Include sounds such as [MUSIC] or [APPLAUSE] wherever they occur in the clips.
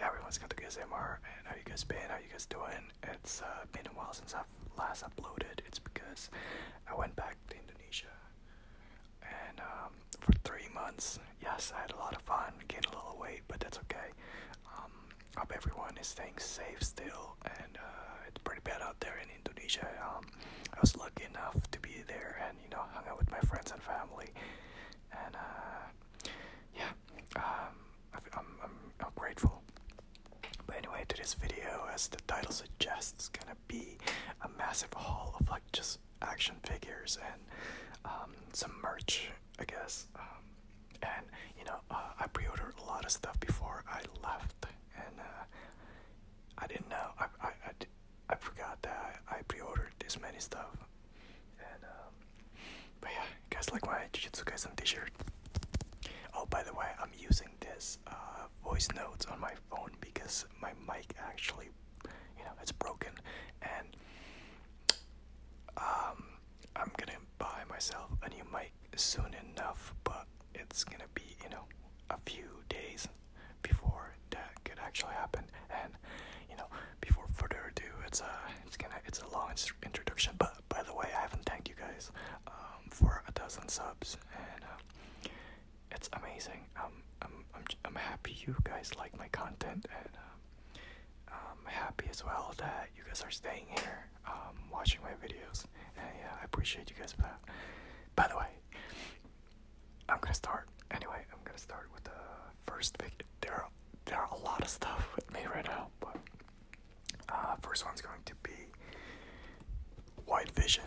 Everyone's got the good MR. and how you guys been? How you guys doing? It's uh, been a while since I've last uploaded. It's because I went back to Indonesia, and um, for three months, yes, I had a lot of fun, gained a little weight, but that's okay. I um, hope everyone is staying safe still, and uh, it's pretty bad out there in Indonesia. Um, I was lucky enough to be there, and you know, hung out with my friends and family, and uh, yeah, um, I'm, I'm, I'm grateful. But anyway, today's video, as the title suggests, is gonna be a massive haul of like just action figures and um, some merch, I guess. Um, and you know, uh, I pre-ordered a lot of stuff before I left, and uh, I didn't know. I I I, forgot that I, I pre-ordered this many stuff. And um, but yeah, you guys like my Jujutsu Kaisen T-shirt? Oh, by the way, I'm using this uh, voice notes on my phone because my mic actually, you know, it's broken, and um, I'm gonna buy myself a new mic soon enough, but it's gonna be, you know, a few days before that could actually happen and you know before further ado it's a it's gonna it's a long introduction but by the way I haven't thanked you guys um, for a dozen subs and um, it's amazing um, I'm, I'm I'm happy you guys like my content and um, I'm happy as well that you guys are staying here watching my videos and yeah I appreciate you guys for that by the way I'm gonna start anyway I'm gonna start with the first pick Daryl there are a lot of stuff with me right now, but uh, first one's going to be White Vision.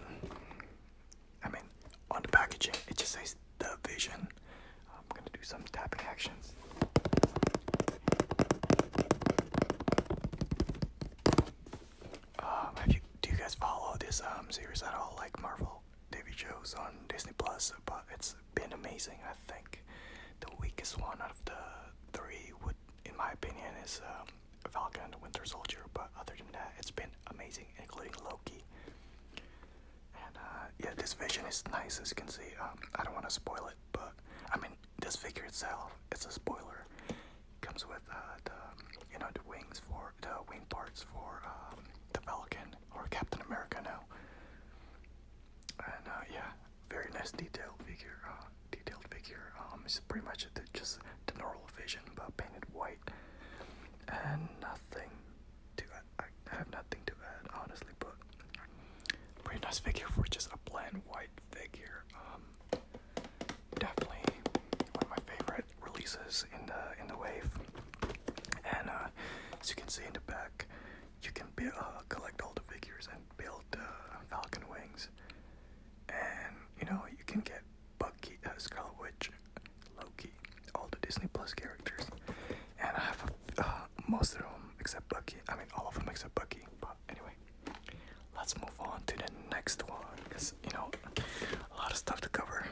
I mean, on the packaging it just says the Vision. I'm gonna do some tapping actions. Um, have you, do you guys follow this um series at all, like Marvel TV shows on Disney Plus? But it's been amazing. I think the weakest one out of the three would, in my opinion, is um, Falcon and the Winter Soldier. But other than that, it's been amazing, including Loki. And uh, yeah, this vision is nice, as you can see. Um, I don't want to spoil it, but I mean, this figure itself, it's a spoiler. comes with uh, the, you know, the wings for the wing parts for um, the Falcon or Captain America now and uh, yeah, very nice detailed figure. Uh, detailed figure. Um, it's pretty much just the normal vision, but painted white, and nothing to. add. I have nothing to add, honestly, but pretty nice figure for just a plain white figure. Um, definitely one of my favorite releases in the in the wave, and uh, as you can see in the back, you can uh, collect all the figures and build uh, Falcon Wings. And, you know, you can get Bucky, uh, Scarlet Witch, Loki, all the Disney Plus characters. And I have uh, most of them except Bucky. I mean, all of them except Bucky. But anyway, let's move on to the next one because, you know, a lot of stuff to cover.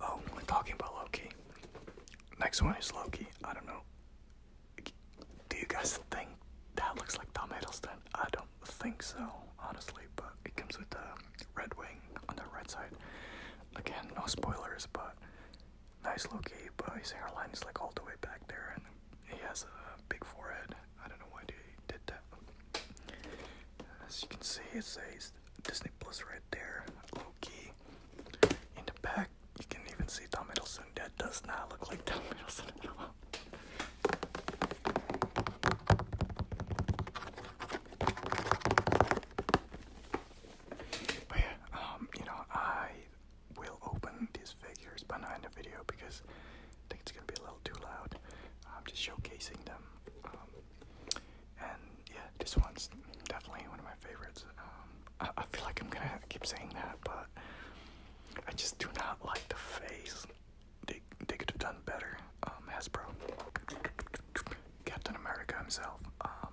Oh, we're talking about Loki. Next one is Loki. I don't know. Do you guys think that looks like Tom Hiddleston? I don't think so, honestly, but it comes with the red wing on the right side. Again, no spoilers, but nice Loki, but his hairline is like all the way back there, and he has a big forehead. I don't know why they did that. As you can see, it says Disney Plus red there, low In the back, you can even see Tom Middleton. That does not look like Tom Middleton at all. But yeah, um, you know, I will open these figures behind the video because I think it's gonna be a little too loud. I'm just showcasing them. Um, yeah, this one's definitely one of my favorites. Um, I, I feel like I'm gonna keep saying that, but I just do not like the face. They they could have done better. Um, Hasbro, Captain America himself, um,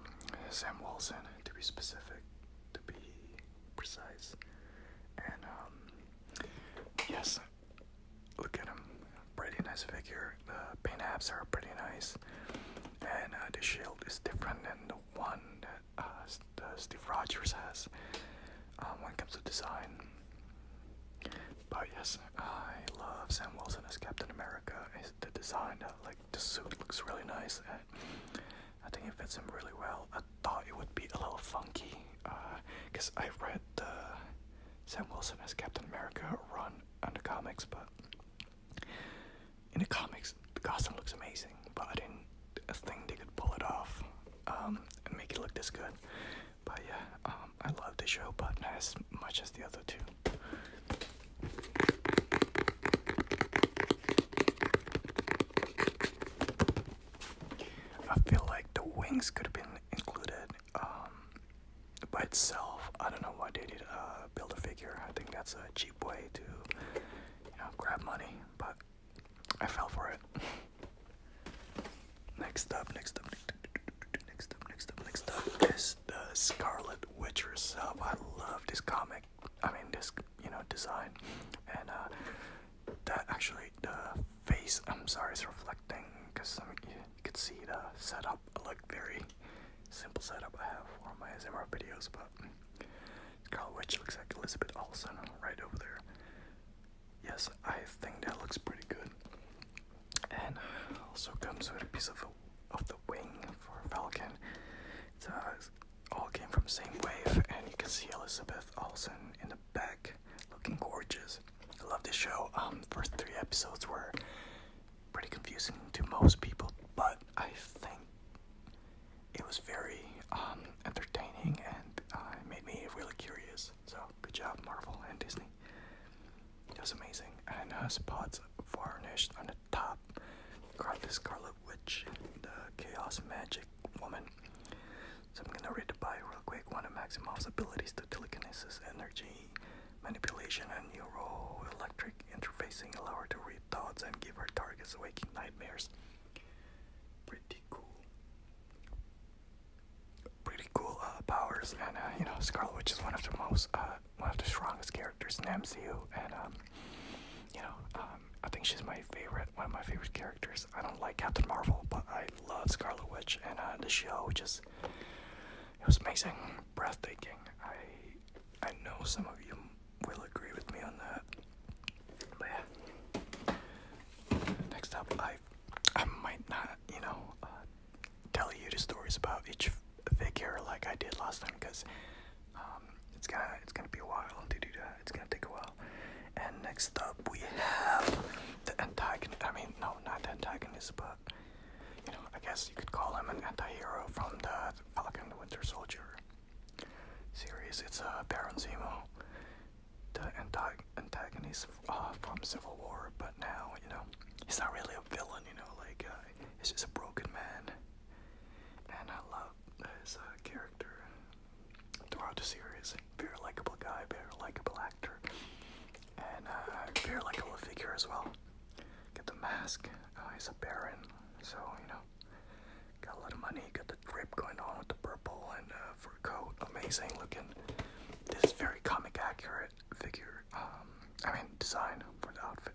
Sam Wilson, to be specific, to be precise, and yes, look at him, pretty nice figure, the uh, paint apps are pretty nice, and uh, the shield is different than the one that uh, Steve Rogers has uh, when it comes to design. But yes, I love Sam Wilson as Captain America. It's the design, uh, like the suit, looks really nice, I think it fits him really well. I thought it would be a little funky, because I read the Sam Wilson as Captain America run on the comics, but in the comics, the costume looks amazing, but I didn't think they could pull it off um, and make it look this good. But yeah, um, I love the show, but not as much as the other two. I feel like the wings could have been included um, by itself. I don't know why they did uh, uh, build a figure. I think that's a cheap way to, grab money. But I fell for it. [LAUGHS] next up, next up, next up, next up, next up is the Scarlet Witch herself. I love this comic. I mean, this you know design, and uh, that actually the face. I'm sorry, it's reflecting because I mean, you, could see the setup like very simple setup I have for my ASMR videos, but Scarlet Witch looks like Elizabeth Olsen right over there. Yes, I think that looks pretty good. And also comes with a piece of of the wing for Falcon. It's uh, all came from same wave, and you can see Elizabeth Olsen in the back, looking gorgeous. I love this show. Um, first three episodes were pretty confusing to most people, but I think it was very um, entertaining and uh, it made me really curious. So, good job, Marvel and Disney. It was amazing. And uh, spots varnished on the top. Got the Scarlet Witch, the Chaos Magic Woman. So I'm gonna read the real quick. One of Maximoff's abilities telekinesis, energy, manipulation, and neuroelectric interfacing allow her to read thoughts and give her targets waking nightmares. Pretty cool. Pretty cool uh, powers, and uh, you know, Scarlet Witch is one of the most, uh, one of the strongest characters in MCU, and um, you know, um, I think she's my favorite, one of my favorite characters. I don't like Captain Marvel, but I love Scarlet Witch, and the show just, it was amazing, breathtaking. I know some of you will agree with me on that. But yeah. Next up, I I might not, you know, uh, tell you the stories about each figure like I did last time because um, it's gonna it's gonna be a while to do that. It's gonna take a while. And next up, we have the antagonist. I mean, no, not the antagonist, but you know, I guess you could call him an anti-hero from the Falcon Winter Soldier series. It's a uh, Baron Zemo, the antagonist uh, from Civil War, but now, you know, he's not really a villain, you know, like, uh, he's just a broken man. And I love his character throughout the series. Very likable guy, very likable actor, and uh, very likable figure as well. Get the mask. Oh, he's a baron, so you know, got a lot of money. Got the drip going on with the purple and uh, fur coat. Amazing looking. This is very comic accurate figure. Um, I mean design for the outfit.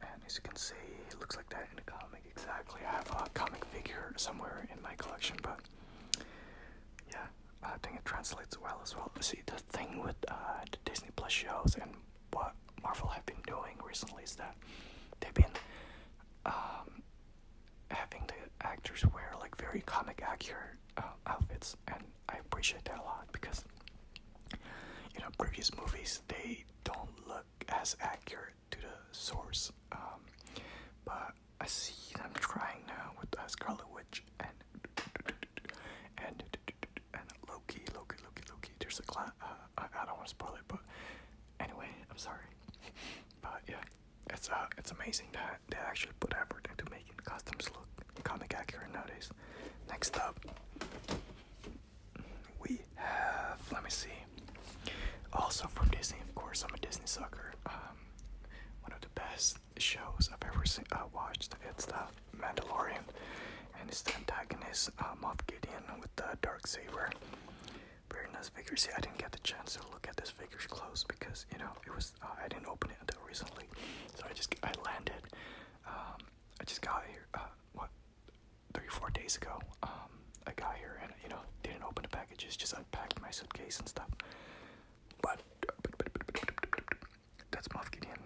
And as you can see, it looks like that in a comic. Exactly. I have a comic figure somewhere in my collection, but yeah, I think it translates well as well. See, the thing with uh, the Disney Plus shows and what Marvel have been doing recently is that they've been um, having the actors wear like very comic accurate uh, outfits, and I appreciate that a lot because you know previous movies they don't look as accurate to the source. Um, but I see them trying now with uh, Scarlet Witch and and and Loki, Loki, Loki, Loki. There's a cla uh, I, I don't want to spoil it, but anyway, I'm sorry. [LAUGHS] But yeah, it's uh, it's amazing that they actually put effort into making costumes look comic accurate nowadays. Next up, we have let me see. Also from Disney, of course. I'm a Disney sucker. Um, one of the best shows I've ever seen, I uh, watched. It's stuff. Mandalorian, and it's the antagonist uh, Moff Gideon with the dark saber. Very nice figure. See, I didn't get the chance to look at this figure's close because you know it was I didn't open it until recently, so I just I landed. Um, I just got here. what? Three four days ago. Um, I got here and you know didn't open the packages. Just unpacked my suitcase and stuff. but that's Moff Gideon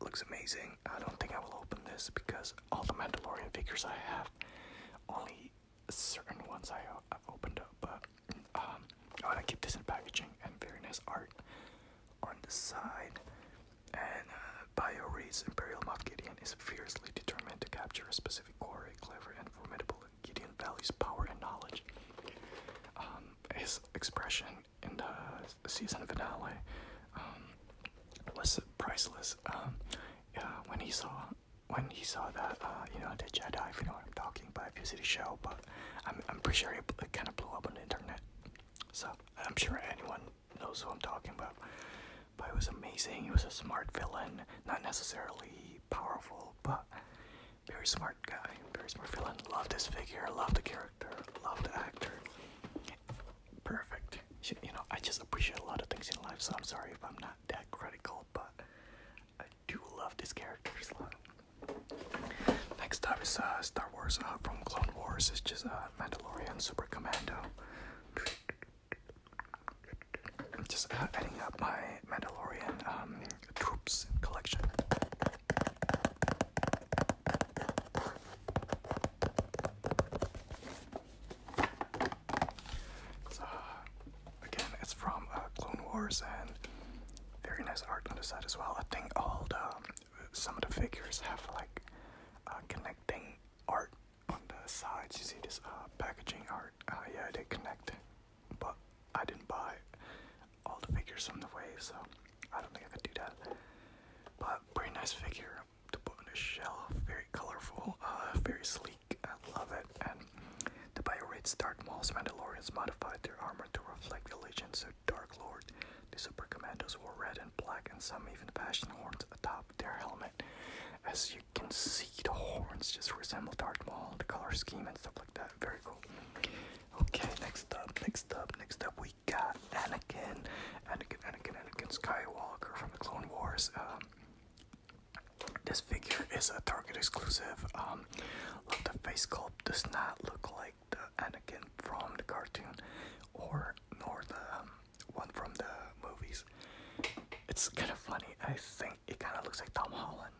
looks amazing. I don't think I will open this because all the Mandalorian figures I have, only certain ones I have opened up. But um, I want to keep this in packaging and very nice art on the side. And uh, Bio reads Imperial Moff Gideon is fiercely determined to capture a specific quarry, clever and formidable. Gideon values power and knowledge. Um, his expression in the season finale. Um, was priceless. Um, yeah, when he saw when he saw that, uh, you know, the Jedi, if you know what I'm talking about, if you see the show, but I'm, I'm pretty sure it, kind of blew up on the internet. So I'm sure anyone knows who I'm talking about. But it was amazing. It was a smart villain, not necessarily powerful, but very smart guy, very smart villain. Love this figure, love the character love the actor. Perfect. You, know, I just appreciate a lot of things in life, so I'm sorry if I'm not that critical, but I do love this character's love. Next up is uh, Star Wars uh, from Clone Wars. It's just uh, Mandalorian Super Commando. I'm just uh, adding up my Mandalorian um, troops collection. It's, uh, again, it's from uh, Clone Wars and very nice art on the side as well. I think all the um, some of the figures have like uh, connecting art on the sides. You see this packaging art. Uh, yeah, they connect, but I didn't buy all the figures on the way, so I don't think I could do that. But pretty nice figure there to put on a shelf. Very colorful, uh, very sleek. I love it. And the Bioraids Dark Maul's Mandalorians modified their armor to reflect the legends of Dark Lord. The Super Commandos wore red and black, and some even fashion horns atop their helmet. As you can see, the horns just resemble Darth Maul, the color scheme and stuff like that. Very cool. Okay, next up, next up, next up, we got Anakin, Anakin, Anakin, Anakin Skywalker from the Clone Wars. Um, this figure is a Target exclusive. Um, the face sculpt does not look like the Anakin from the cartoon, or nor the um, one from the movies. It's kind of funny. I think it kind of looks like Tom Holland.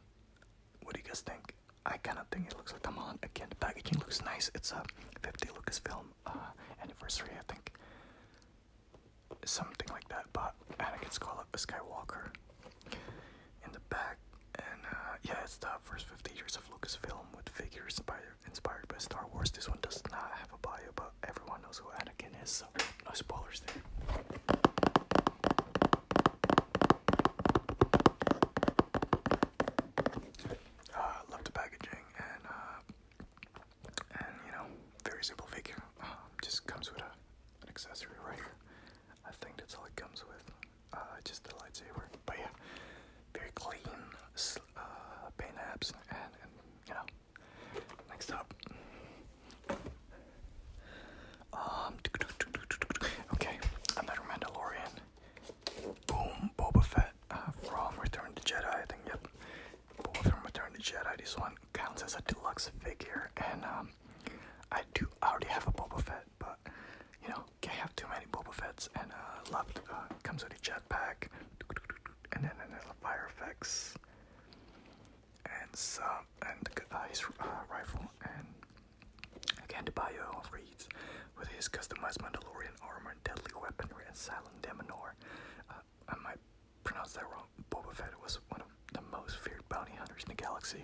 What do you guys think? I kind of think it looks like Tom Holland. Again, the packaging looks nice. It's a 50 Lucasfilm uh, anniversary, I think. Something like that, but Anakin uh, Skywalker in the back, and uh, yeah, it's the first 50 years of Lucasfilm with figures inspired, inspired by Star Wars. This one does not have a bio, but everyone knows who Anakin is, so no spoilers there. Uh, love the packaging and uh, and you know, very simple figure. Um, just comes with a, an accessory right I think that's all it comes with. Uh, just the lightsaber. But yeah, very clean uh, paint apps, and, and you know. Next up, um, [TSK] okay, another Mandalorian. Boom, Boba Fett uh, from Return to Jedi. I think, yep, both from Return to Jedi. This one counts as a deluxe figure, and um, I do already have a Boba Fett, but you know, can't have too many Boba Fetts. And uh, loved uh, comes with a jetpack, and then and then fire effects, and some and uh, his rifle, and again the bio reads with his customized Mandalorian armor, deadly weaponry, and silent Island uh, I might pronounce that wrong. Boba Fett was one of the most feared bounty hunters in the galaxy.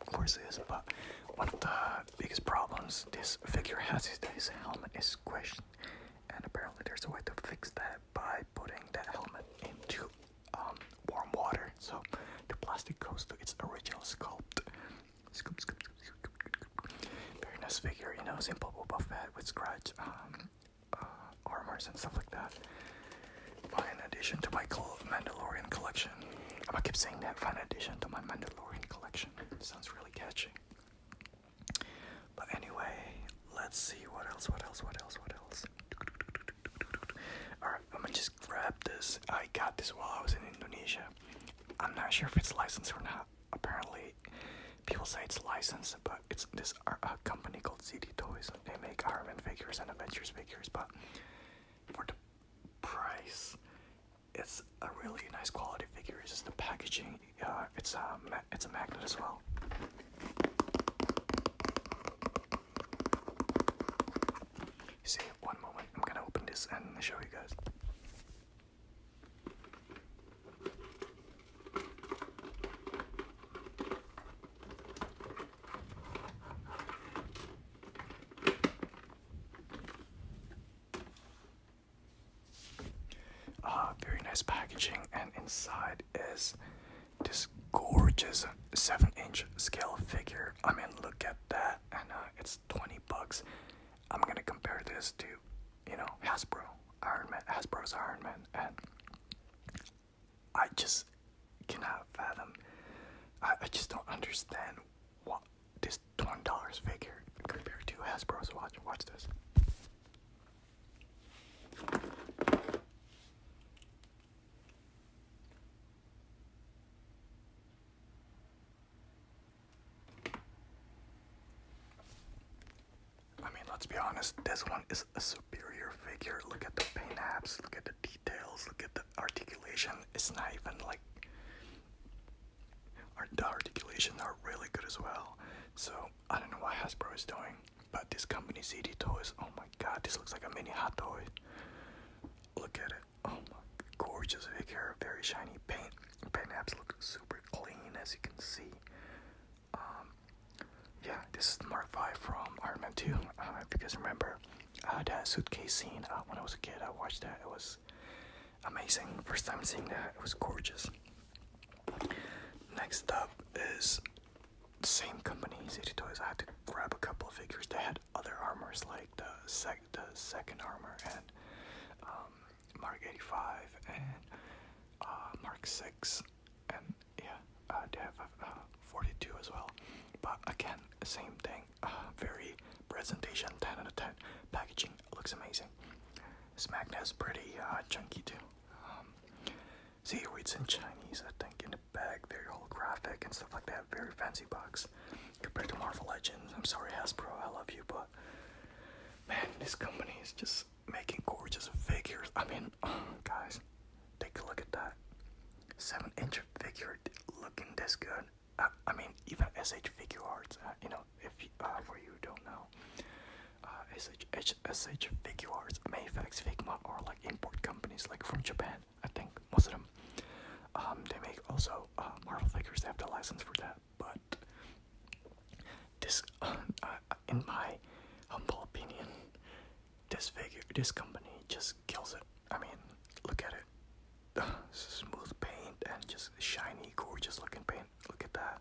Of course is but one of the biggest problems this figure has is that his helmet is squished. And apparently there's a way to fix that by putting that helmet into um, warm water. So the plastic goes to its original sculpt. Very nice figure, you know, simple Boba Fett with scratch um, uh, armors and stuff like that. in addition to my Mandalorian collection. I'm gonna keep saying that, fine addition to my Mandalorian collection. sounds really catchy. But anyway, let's see what else, what else, what else, what else. Alright, I'm gonna just grab this. I got this while I was in Indonesia. I'm not sure if it's licensed or not apparently people say it's licensed, but it's this uh, company called CD Toys. They make Iron Man figures and Avengers figures, but for the price, it's a really nice quality figures. It's the packaging. Uh, it's uh, a it's a magnet as well. see, one moment, I'm gonna open this and show you guys. Uh, very nice packaging, and inside is this gorgeous seven-inch scale figure. I mean, look at that, and uh, it's 20 bucks. I'm gonna compare this to you know, Hasbro, Iron Man, Hasbro's Iron Man, and I just cannot fathom. I, I just don't understand what this twenty dollars figure compared to Hasbro's watch. Watch this. I mean, let's be honest, this one is a superior figure. Look at the paint apps, look at the details, look at the articulation. It's not even like. Our, the articulation are really good as well. So, I don't know what Hasbro is doing, but this company's CD Toys, oh my god, this looks like a mini hot toy. Look at it. Oh my gorgeous figure, very shiny paint. Paint apps look super clean as you can see. Um, yeah, this is Mark V from Iron Man 2. Uh, if you guys remember uh, that suitcase scene uh, when I was a kid, I watched that. It was amazing. First time seeing that, it was gorgeous. Next up is same company, City Toys. I had to grab a couple of figures. They had other armors like the, sec the second armor and um, Mark 85 and uh, Mark 6, and yeah, uh, they have uh, 42 as well. But again, same thing, uh, very presentation 10 out of 10. Packaging looks amazing. This magnet is pretty uh, chunky too. see, it in Chinese, I think, in the bag, very holographic and stuff like that. Very fancy box compared to Marvel Legends. I'm sorry, Hasbro, I love you, but man, this company is just making gorgeous figures. I mean, [SIGHS] guys, take a look at that. Seven inch figure looking this good. I, I mean, even SH figures. Uh, you know, if you, uh, for you don't know, uh, SH, H, SH Figure Arts, Figma are like import companies, like from Japan, I think, most of them. Um, they make also uh, Marvel figures, they have the license for that, but this, uh, uh, in my humble opinion, this figure, this company just kills it. I mean, look at it. [SIGHS] Smooth paint and just shiny, gorgeous looking paint. Look at that.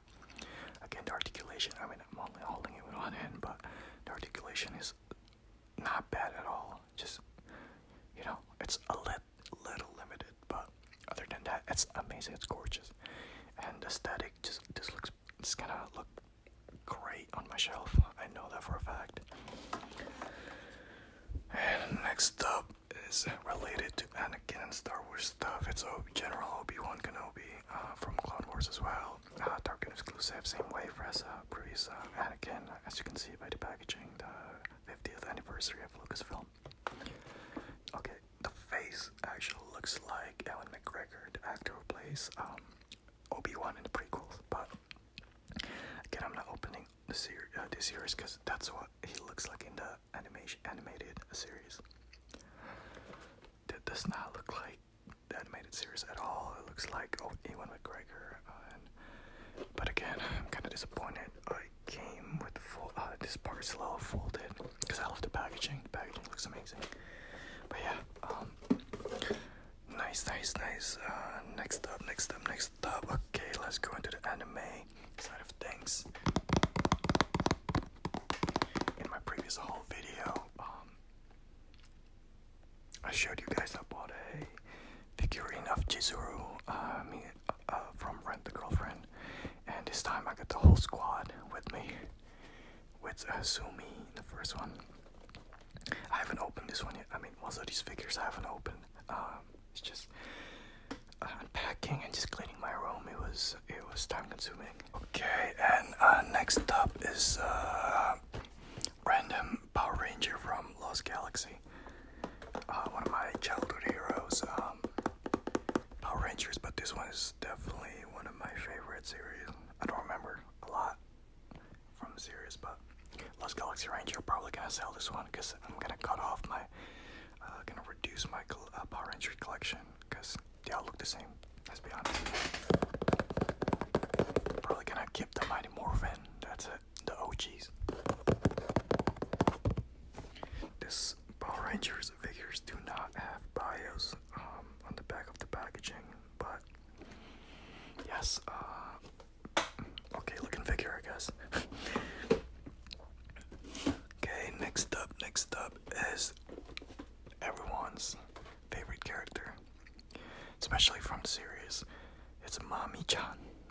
Again, the articulation, I mean, I'm only holding it with one hand, but the articulation is not bad at all. Just, you know, it's a lit, little limited, but other than that, it's amazing, it's gorgeous. And the static just this looks it's gonna look great on my shelf. I know that for a fact. And next up is related to Anakin and Star Wars stuff. It's General Obi-Wan Kenobi uh, from Clone Wars as well. Uh, Dark and exclusive, same way for as uh, previous uh, Anakin. As you can see by the packaging, the 50th anniversary of Lucasfilm. Okay, the face actually looks like Alan McGregor, the actor plays um, Obi Wan in the prequels. But again, I'm not opening the uh, series, this series, because that's what he looks like in the animation animated series. That does not look like the animated series at all. It looks like oh, McGregor. and, but again, I'm kind of disappointed. I came with full. Uh, this part's a little folded because I love the packaging. The packaging looks amazing. But yeah, um, nice, nice, nice. Uh, next up, next up, next up. Okay, let's go into the anime side of things. In my previous whole video, um, I showed you guys I bought a figurine of Jizuru, uh, uh, from Rent the Girlfriend, and this time I got the whole squad with me with uh, Sumi, the first one. I haven't opened this one yet. I mean, also these figures I haven't opened. Um, it's just uh, unpacking and just cleaning my room. It was it was time consuming. Okay, and uh, next up is uh, random Power Ranger from Lost Galaxy. Uh, one of my childhood heroes. Um, Power Rangers, but this one is definitely one of my favorite series. I don't remember a lot from the series, but Lost Galaxy Ranger. Probably gonna sell this one because I'm gonna cut off my, uh, gonna reduce my uh, Power Ranger collection because they all look the same. Let's be honest. Probably gonna keep the Mighty Morphin. That's it. The OGs. This Power Rangers figures. Figures do not have bios um, on the back of the packaging, but yes, uh, okay, looking figure, I guess. [LAUGHS] okay, next up, next up is everyone's favorite character, especially from the series. It's Mommy Chan.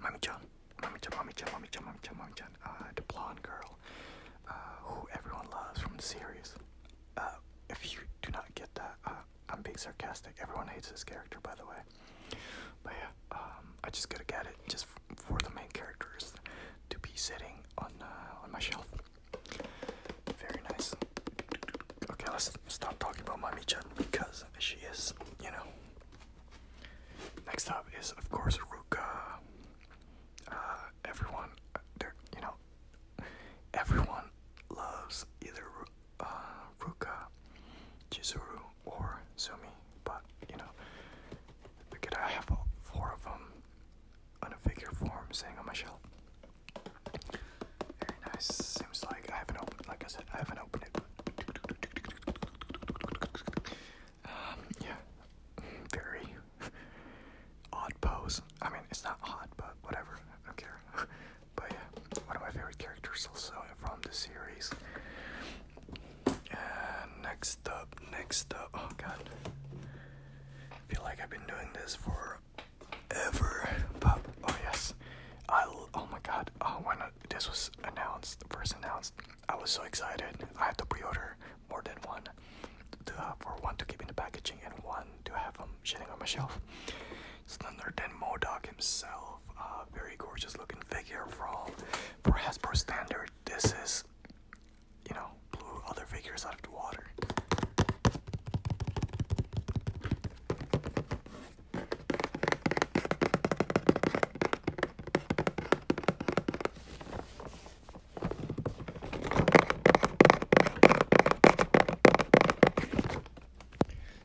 Mommy Chan. Mommy Chan, Mommy Chan, Mommy Chan, Mommy Chan, Mommy Chan. Uh, the blonde girl uh, who everyone loves from the series. Uh, if you do not get that, uh, I'm being sarcastic. Everyone hates this character, by the way. But yeah, um, I just gotta get it just for the main characters to be sitting on uh, on my shelf. Very nice. Okay, let's stop talking about Mami-chan because she is, you know. Next up is of course Ruka. Uh, everyone, uh, you know, Everyone loves either uh, Ruka, Chizuru, or Sumi, but you know, we could have four of them on a figure form sitting on my shelf. Very nice. Seems like I haven't opened. Like I said, I haven't opened it. Um, yeah, very [LAUGHS] odd pose. I mean, it's not odd, but whatever. I don't care. [LAUGHS] but yeah, one of my favorite characters also from the series. And next up, next up. Oh god, I feel like I've been doing this for ever. But oh yes, I. Oh my god. Oh, when uh, this was announced, first announced, I was so excited. I had to pre-order more than one to have or one to keep in the packaging and one to have them sitting on my shelf. Slender than Modoc himself, very gorgeous looking figure from for Hasbro standard. This is, you know, blew other figures out of the water.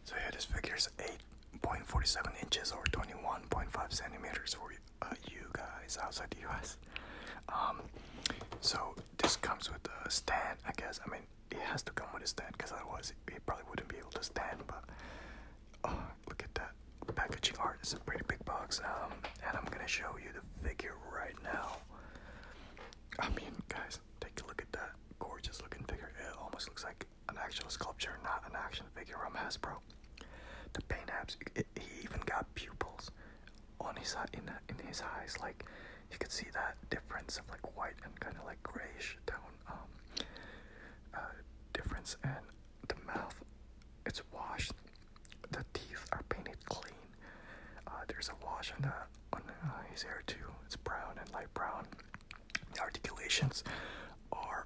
So yeah, this figure is 8.47 inches or 21.5 centimeters for uh, you guys outside the US. Um, so this comes with a stand, I guess. I mean, it has to come with a stand because otherwise it, probably wouldn't be able to stand. But uh, look at that packaging art. It's a pretty big box. Um, and I'm gonna show you the figure right now. I mean, guys, take a look at that gorgeous looking figure. It almost looks like an actual sculpture, not an action figure from Hasbro. The paint apps, he even got pupils on his in, in his eyes. Like, you could see that difference of like white and kind of like grayish tone um, uh, difference. And the mouth, it's washed. The teeth are painted clean. Uh, there's a wash on the on uh, his hair too. It's brown and light brown. The articulations are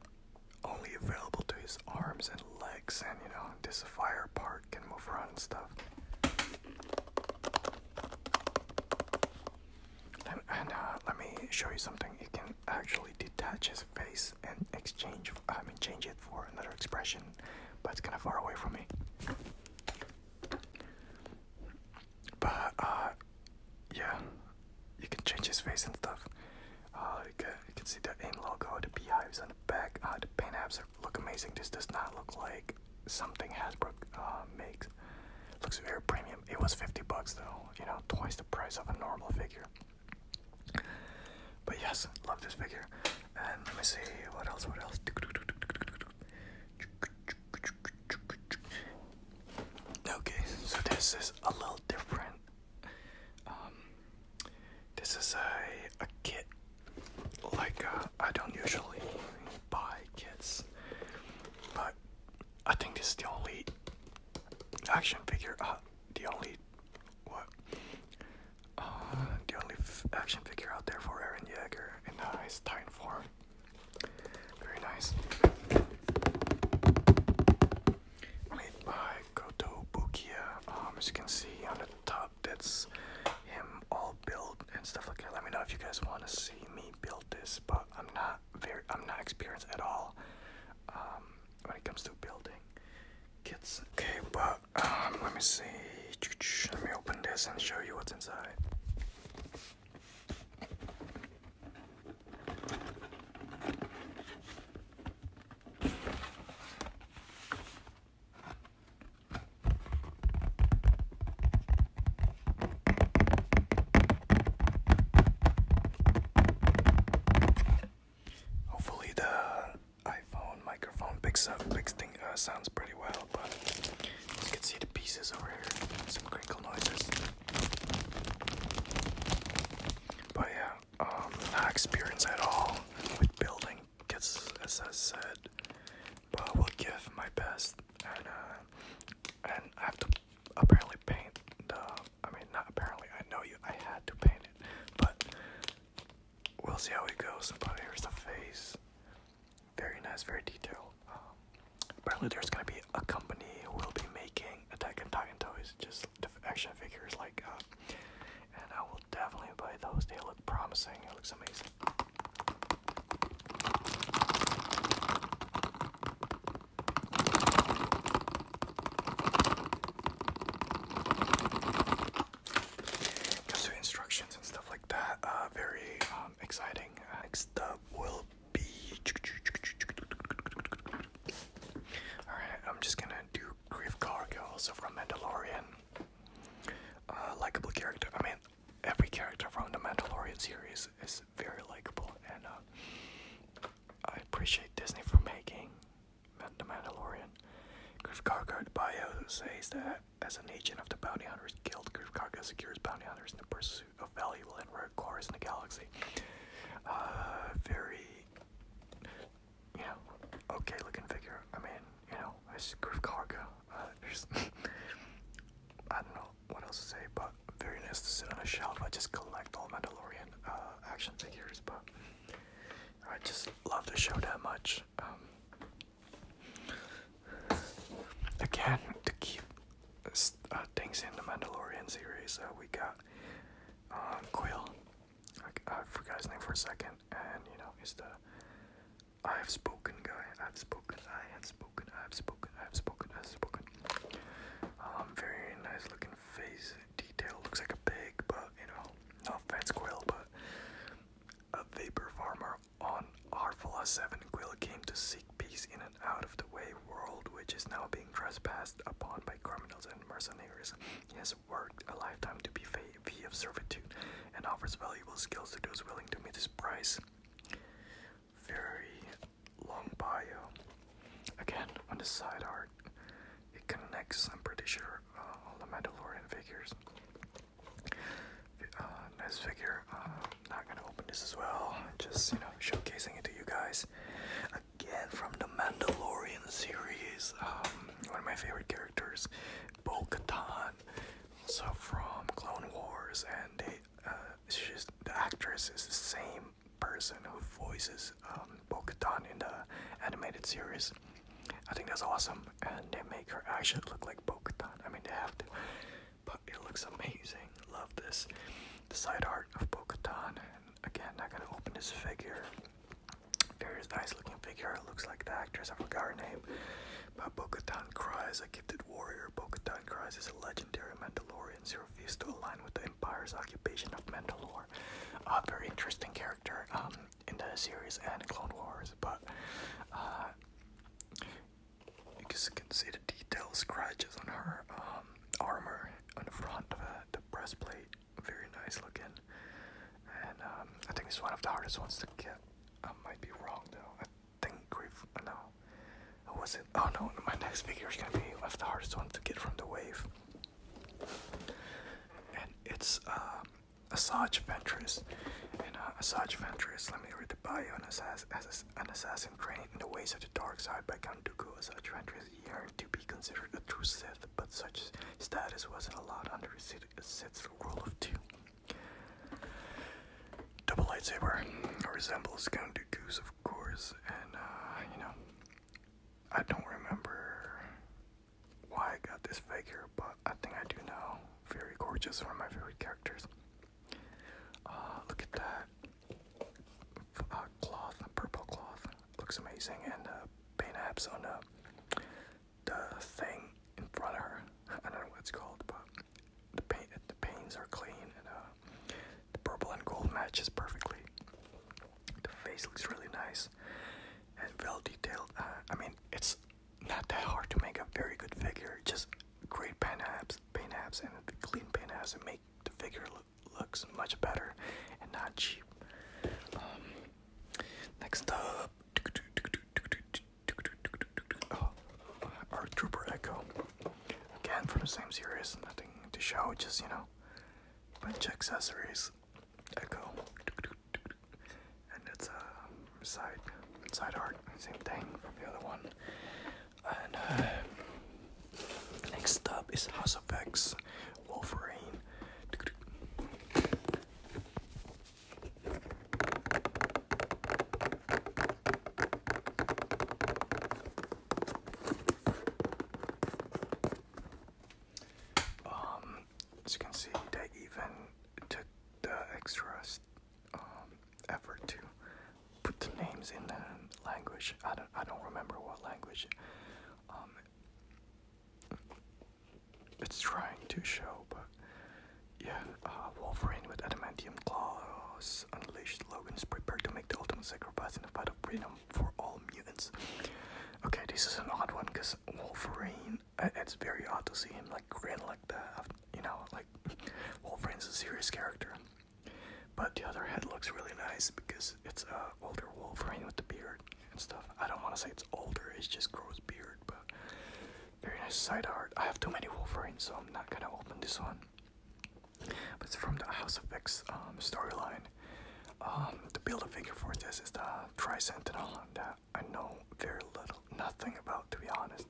only available to his arms and legs, and you know this fire part can move around and stuff. And, uh, let me show you something. It can actually detach his face and exchange. I mean, change it for another expression, but it's kind of far away from me. But uh, yeah, you can change his face and stuff. Uh, you, can, you can see the AIM logo, the beehives on the back. Uh, the paint apps look amazing. This does not look like something Hasbro uh, makes. Looks very premium. It was 50 bucks though, you know, twice the price of a normal figure. But yes, love this figure. Um, let me see what else, what else. Okay, so this is a little different. Um, this is a, a kit. Like, uh, I don't usually buy kits, but I think this is the only action figure, uh, the only what uh, the only action figure out there for Aaron Yeager and a uh, nice Titan form. Very nice. Made by Koto Um, as you can see on the top, that's him all built and stuff like that. Let me know if you guys want to see me build this, but I'm not very, I'm not experienced at all um, when it comes to building kits. Okay, but um, let me see. Let me open this and show you what's inside. Hopefully the iPhone microphone picks up, picks thing uh, sounds pretty well, but you can see the pieces over here, some crinkle noises. But yeah, um, not experience at all with building gets as I said, but I will give my best and uh, and I have to apparently paint the I mean not apparently I know you I had to paint it but we'll see how it goes. But here's the face. Very nice, very detailed. Um, apparently, there's gonna be a company who will be making Attack on Titan toys, just action figures like uh, And I will definitely buy those. They look promising. It looks amazing. Gives you instructions and stuff like that. Uh, very um, exciting. next up will be. Alright, I'm just gonna do Grief Cargo, also from Mandalorian. Uh, likable character. I mean, every character from the Mandalorian series is very likable, and uh, I appreciate Disney for making. The Mandalorian. Griff Cargard bio says that as an agent of the Bounty Hunters Guild, Kafka secures bounty hunters in the pursuit of valuable and rare cores in the galaxy. Uh, very, you know, okay looking figure. I mean, you know, it's Griff uh, [LAUGHS] I don't know what else to say, but very nice to sit on a shelf. I just collect all Mandalorian uh, action figures, but I just love the show that much. Um, Again, to keep uh, things in the Mandalorian series, uh, we got uh, Quill. I, I forgot his name for a second, and you know, he's the I have spoken guy. I have spoken. I have spoken. I have spoken. I have spoken. I have spoken. Um, very nice looking face detail. Looks like a pig, but you know, no offense, Quill, but a vapor farmer on Arphala 7, Quill came to seek peace in an out of the way world which is now being trespassed upon by criminals and mercenaries. He has worked a lifetime to be free of servitude and offers valuable skills to those willing to meet his price. Very long bio. Again, on the side art, it connects, I'm pretty sure, uh, all the Mandalorian figures uh, nice figure. Uh, not gonna open this as well. Just you know, showcasing it to you guys. Again from the Mandalorian series. Um, one of my favorite characters, Bo-Katan. Also from Clone Wars, and she's uh, the actress is the same person who voices um, Bo-Katan in the animated series. I think that's awesome and they make her actually look like bo I mean, they have to, but it looks amazing. Love this. The side art of bo And Again, I'm gonna open this figure. There is nice looking figure. It looks like the actress. I forgot her name. But Bo-Katan cries, a gifted warrior. Bo-Katan cries is a legendary Mandalorian who refused to align with the Empire's occupation of Mandalore. A ah, very interesting character. Um, in the series and Clone Wars, but uh, you can see the detailed scratches on her um, armor on the front of the breastplate. Very nice looking, and um, I think it's one of the hardest ones to get. I might be wrong though. I think grief. No, what was it? Oh no, my next figure is gonna be one of the hardest ones to get from the wave, and it's. Um, Asajj Ventress. And uh, Asajj Ventress, let me read the bio on Assassin, as an assassin trained in the ways of the dark side by Count Dooku. Asajj Ventress yearned to be considered a true Sith, but such status wasn't allowed under Sith, Sith's rule of two. Double lightsaber resembles Count Dooku's, of course, and uh, you know, I don't remember why I got this figure, but I think I do know. Very gorgeous, one of my favorite characters. Uh, look at that uh, cloth, purple cloth. Looks amazing, and the uh, paint apps on uh, the thing in front of her. [LAUGHS] I don't know what it's called, but the paint, the paints are clean, and uh, the purple and gold matches perfectly. The face looks really nice and well detailed. Uh, I mean, it's not that hard to make a very good figure. Just great paint apps, paint apps, and clean paint apps, and make the figure look looks much better and not cheap. Um, next up, oh, our Trooper Echo. Again from the same series, nothing to show, just you know, bunch accessories. Echo and it's a uh, side side art, same thing from the other one. And uh, next up is House of X Wolverine. Um, as you can see, they even took the extras um, effort to put the names in the language. I don't I don't remember what language. Um, it's trying to show, but yeah, uh, Wolverine with adamantium claws unleashed. Logan is prepared to make the ultimate sacrifice in the fight of freedom for all mutants. Okay, this is an odd one because Wolverine it's very odd to see him like grin like that. You know, like [LAUGHS] Wolverine's a serious character, but the other head looks really nice because it's a uh, older Wolverine with the beard and stuff. I don't want to say it's older; it's just grows beard, but very nice side art. I have too many Wolverines, so I'm not gonna open this one. But it's from the House of X um, storyline. Um, to build a figure for this is the Tri Sentinel that I know very little, nothing about, to be honest.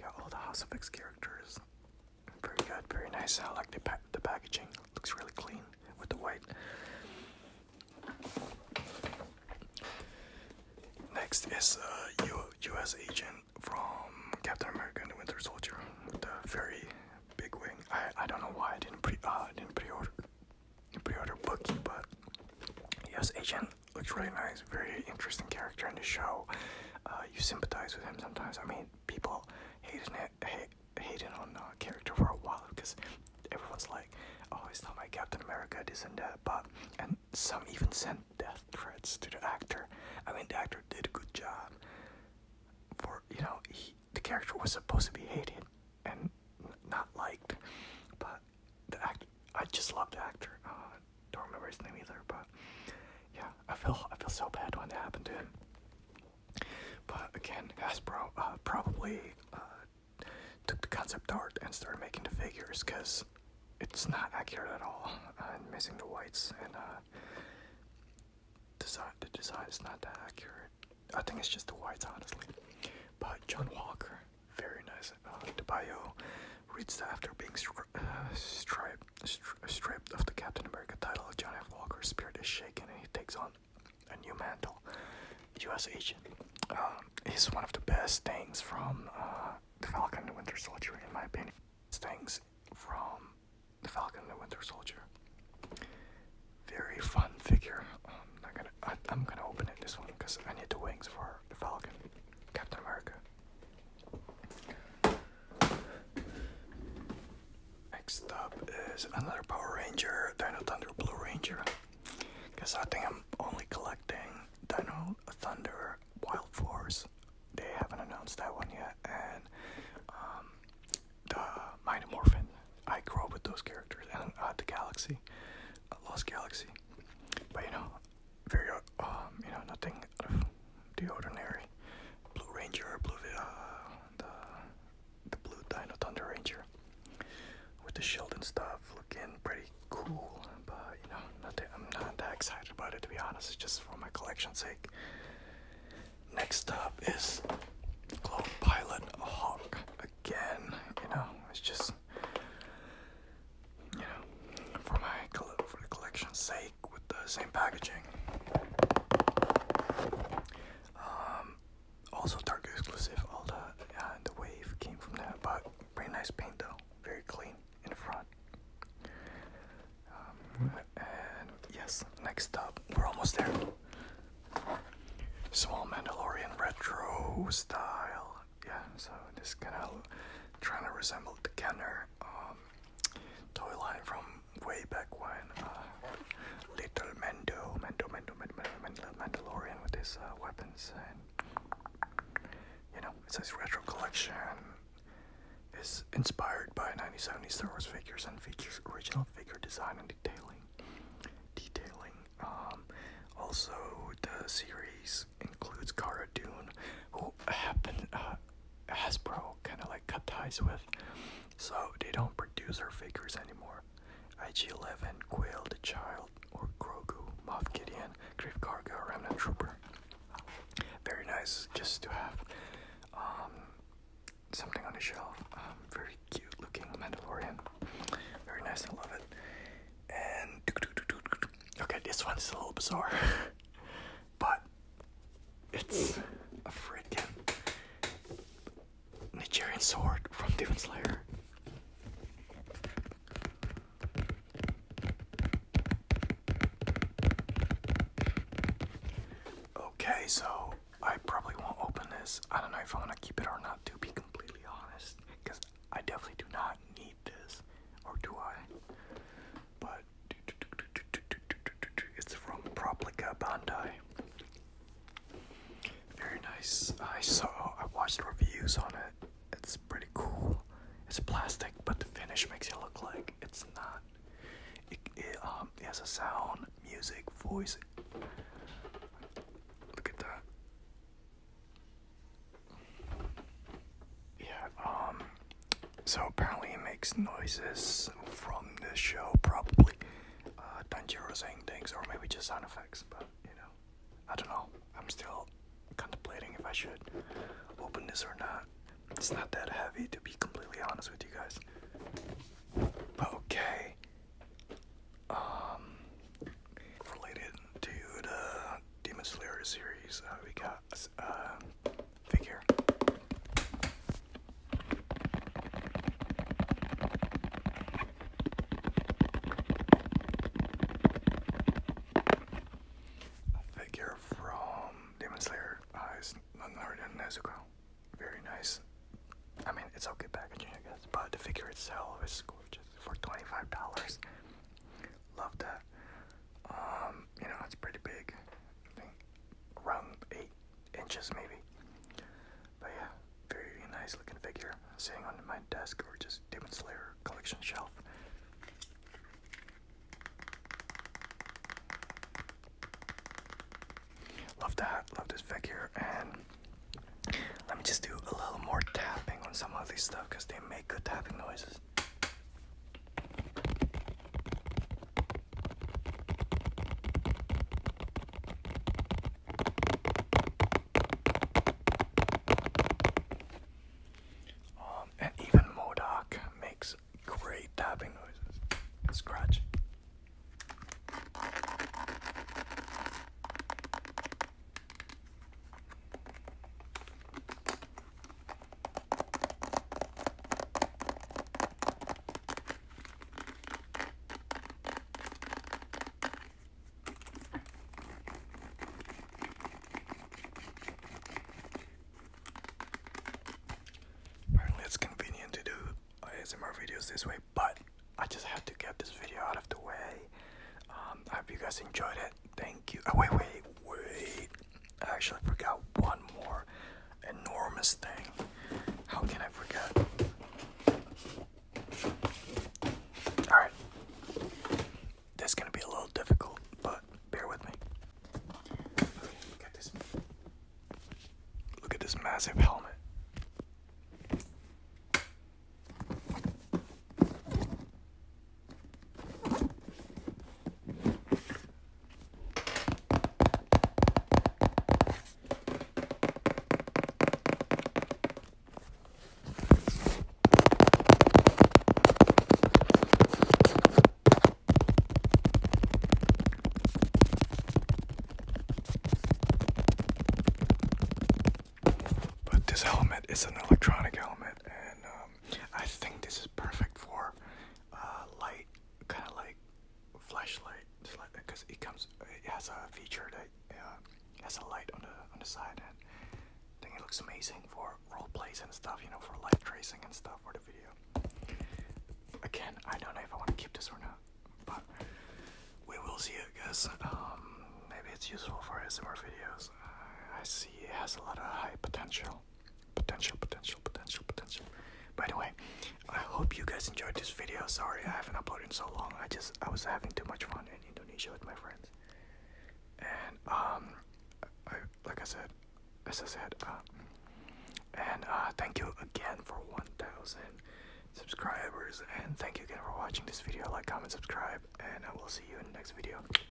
Got all the House of X characters. Very good, very nice. I like the pa the packaging. Looks really clean with the white. Next is a uh, U U.S. agent from Captain America and the Winter Soldier with a very big wing. I I don't know why I didn't pre uh, I didn't pre-order pre-order Bucky, but U.S. agent looks really nice, very interesting character in the show. Uh, you sympathize with him sometimes. I mean, people hating it, hating on character for a while because everyone's like, "Oh, he's not my Captain America, this and that." But and some even sent death threats to the actor. I mean, the actor did a good job. For you know, the character was supposed to be hated and not liked, but the act I just love the actor. Uh, don't remember his name either, but yeah, I feel I feel so bad when that happened to him. But again, Hasbro uh, probably uh, took the concept art and started making the figures because it's not accurate at all. I'm uh, missing the whites and uh, design. The design is not that accurate. I think it's just the whites, honestly. But John Walker, very nice. Uh, reads that after being uh, stri uh, stripped of the Captain America title, John F. Walker's spirit is shaken and he takes on a new mantle. U.S. agent. Um, he's one of the best things from uh, Falcon and Winter Soldier, in my opinion. Things from the Falcon and Winter Soldier. Very fun figure. I, am going to gonna open it this one because I need the wings for the Falcon, Captain America. Next up is another Power Ranger, Dino Thunder Blue Ranger. Because I think I'm only collecting Dino Thunder Wild Force. They haven't announced that one yet. And um, the Mighty I grew up with those characters. And uh, the Galaxy, Lost Galaxy. But you know, very uh, um you know nothing out of the ordinary. Blue Ranger, blue uh, the the blue Dino Thunder Ranger with the shield and stuff, looking pretty cool. But you know, nothing. I'm not that excited about it to be honest. It's just for my collection's sake. Next up is Globe Pilot Hawk again. You know, it's just you know, for my for the collection's sake, with the same packaging. Um, also Target exclusive. All the uh, the wave came from that, but pretty nice paint though, very clean in the front. Um, hmm. and yes, next up, we're almost there. Small Mandalorian retro style yeah, so this kind of trying to resemble the Kenner um, toy line from way back when. Uh, Little Mendo, Mendo, Mendo, Mendo, Mendo, Mandalorian with his uh, weapons, and you know, it's his retro collection. Is inspired by 1970 Star Wars figures and features original figure design and detailing. Detailing. Um, also, the series includes includes Cara Dune, who happen uh, Hasbro kind of like cut ties with, so they don't produce her figures anymore. IG-11, Quill the Child, or Grogu, Moff Gideon, Grief Karga, Remnant Trooper. Very nice, just to have um, something on the shelf. Um, very cute looking Mandalorian. Very nice, I love it. And okay, this one is a little bizarre, [LAUGHS] but it's a freaking Nigerian sword from Demon Slayer. Okay, so I probably won't open this. I don't know if I want to keep it or not, to be completely honest, because I definitely do not need this, or do I? But it's from Proplica Bandai. Very nice. I saw, I watched reviews on it. It's pretty cool. It's plastic, but the finish makes it look like it's not. It, it, um, has a sound, music, voice. Look at that. Yeah, um, so apparently it makes noises from the show, probably. Uh, Tanjiro saying things, or maybe just sound effects, but you know, I don't know. I'm still contemplating if I should open this or not. It's not that heavy, to be completely honest with you guys. But okay, um, related to the Demon Slayer series, uh, we got uh, figure. figure from Demon Slayer Eyes, uh, Naruto Very nice. I mean, it's okay packaging, I guess, but the figure itself is gorgeous for $25. Love that. Um, you know, it's pretty big. I think around eight inches maybe. But yeah, very nice looking figure sitting on my desk or just Demon Slayer collection shelf. Love that, love this figure and let me just do a little more tapping on some of these stuff because they make good tapping noises. Um, and even Modoc makes great tapping noises and scratching. Apparently it's convenient to do ASMR videos this way, but I just had to get this video out of the way. Um, I hope you guys enjoyed it. Thank you. Oh, wait, wait, wait. I actually forgot one more enormous thing. How can I forget? Alright. This is gonna be a little difficult, but bear with me. Look at this massive helmet. But this element is an electronic element, and um, I think this is perfect for uh, light, kind of like flashlight, because it comes, it has a feature that uh, has a light on the on the side, and I think it looks amazing for role plays and stuff. You know, for light tracing and stuff for the video. Again, I don't know if I want to keep this or not, but we will see. I guess um, maybe it's useful for ASMR videos. I see it has a lot of high potential potential, potential, potential, potential. By the way, I hope you guys enjoyed this video. Sorry I haven't uploaded in so long. I just I was having too much fun in Indonesia with my friends. And um, like I said, as I said, uh, and uh, thank you again for 1,000 subscribers. And thank you again for watching this video. Like, comment, subscribe, and I will see you in the next video.